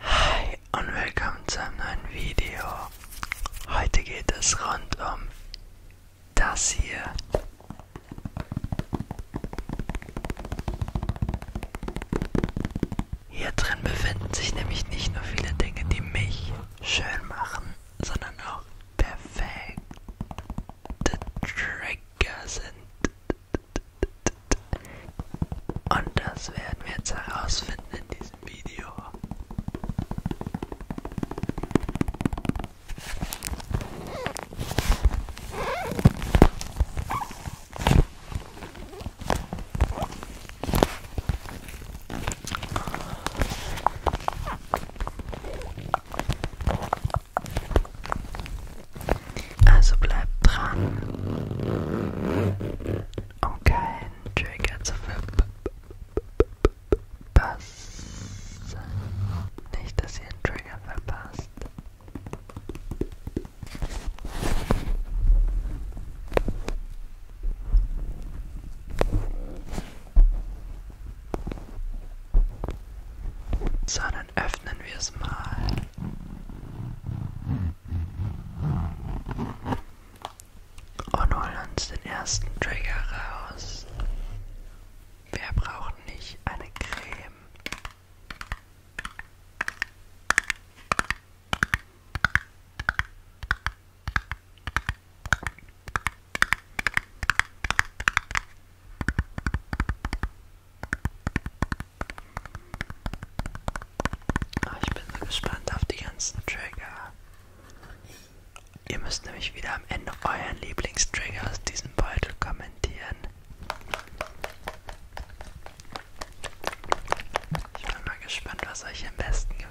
Hi und willkommen zu einem neuen Video. Heute geht es rund um das hier. Hier drin befinden sich nämlich nicht nur viele Dinge, die mich schön machen, sondern auch perfekte Trigger sind. Und das werden wir jetzt herausfinden in diesem Video. Also bleibt dran, um keinen Trigger zu verpassen. Nicht, dass ihr einen Trigger verpasst. So, dann öffnen wir es mal. Und holen uns den ersten Trigger raus. Wer braucht nicht eine Creme? Aber ah, ich bin so gespannt auf die ganzen Trigger. Ihr müsst nämlich wieder am Ende euren Lieblingstrigger aus diesem Beutel kommentieren. Ich bin mal gespannt, was euch am besten gefällt.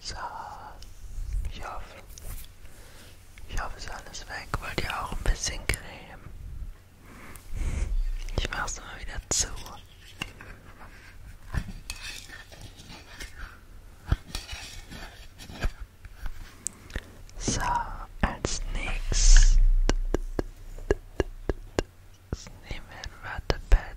Ich hoffe, ich hoffe, es ist alles weg. Wollt ihr auch ein bisschen Creme? Ich mach's mal wieder zu. So, als nächstes nehmen wir ein Wattepad.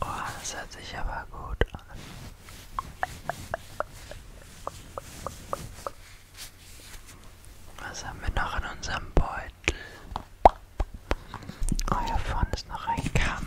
Oh, das hört sich aber gut an. Was haben wir noch in unserem Beutel? Oh, hier vorne ist noch ein Kamm.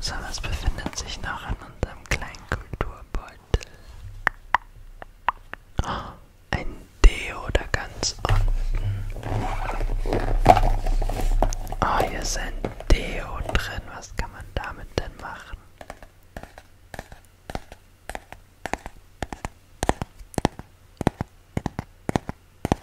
So, was befindet sich noch in unserem kleinen Kulturbeutel? Oh, ein Deo da ganz unten. Oh, hier ist ein Deo drin. Was kann man damit denn machen?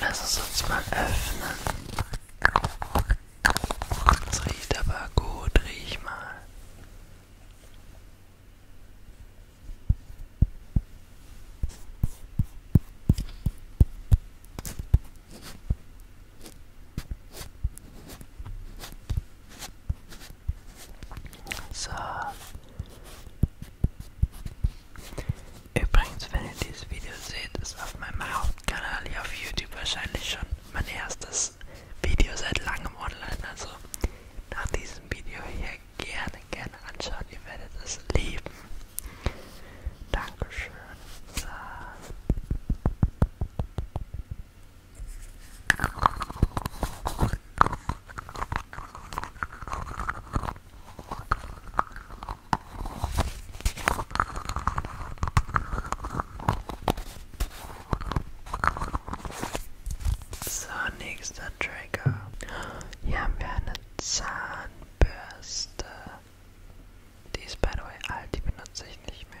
Lass es uns mal öffnen. Es riecht aber gut, riech mal. So, Übrigens, wenn ihr dieses Video seht, ist auf meinem Hauptkanal hier auf YouTube wahrscheinlich schon mein erstes Video seit langem online. Also nach diesem Video hier gerne, gerne anschauen. Ihr werdet es lieben. Dankeschön. So. So, nächster Trigger. Hier haben wir eine Zahnbürste. Die ist by the way alt, die benutze ich nicht mehr.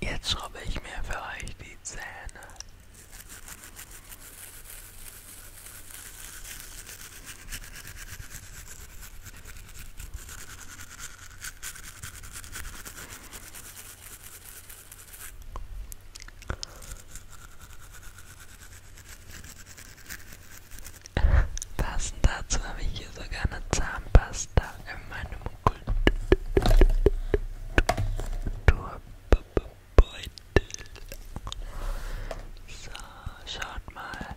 Jetzt schrubbe ich mir für euch die Zähne. Passend dazu habe ich hier sogar eine Zahnpasta in meinem Kulturbeutel. So, schaut mal.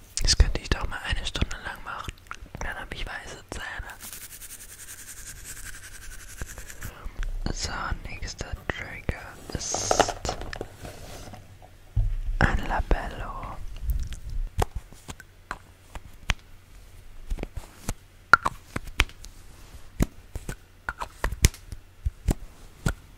Das könnte ich doch mal eine Stunde lang machen. Dann habe ich weiße Zähne. So, nächster Trigger ist ein Labello.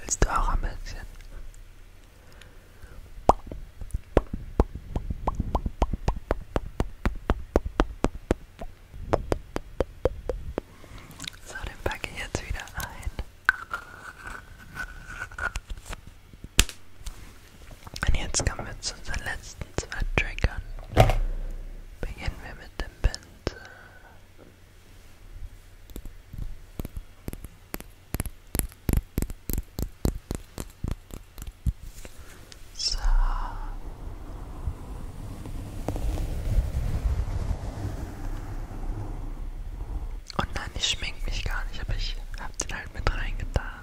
Willst du auch ein bisschen? So, den packe ich jetzt wieder ein. Und jetzt kommen wir zu unseren letzten zwei Triggern. Beginnen wir mit dem Pinsel. So. Und oh nein, ich schmink mich gar nicht, aber ich hab den halt mit reingetan.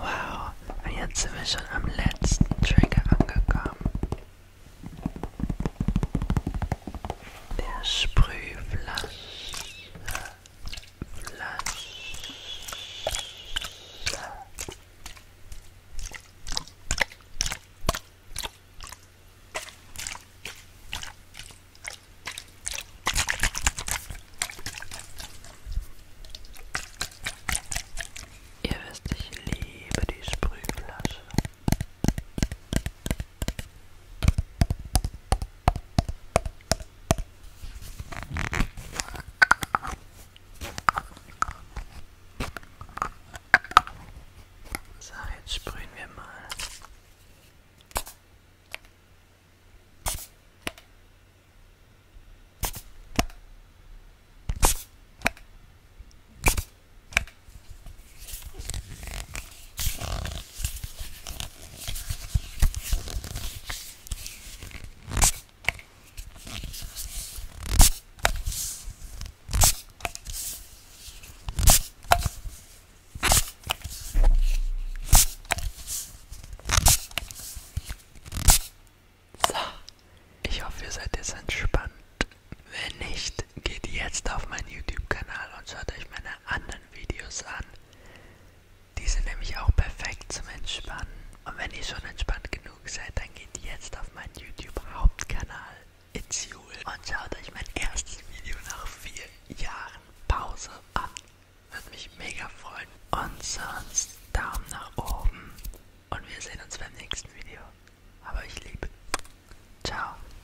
Wow, und jetzt sind wir schon am letzten Trigger angekommen. Der Sprühflasche. Ihr wisst, ich liebe die Sprühflasche. So, jetzt sprühen wir mal. So, ich hoffe, ihr seid jetzt entspannt. Wenn nicht, geht jetzt auf meinen YouTube-Kanal und schaut euch meine anderen anderen Videos an. Die sind nämlich auch perfekt zum Entspannen. Und wenn ihr schon entspannt genug seid, dann geht jetzt auf meinen YouTube-Hauptkanal It's Jule und schaut euch mein erstes Video nach vier Jahren Pause an. Würde mich mega freuen. Und sonst Daumen nach oben. Und wir sehen uns beim nächsten Video. Aber ich liebe. Ciao.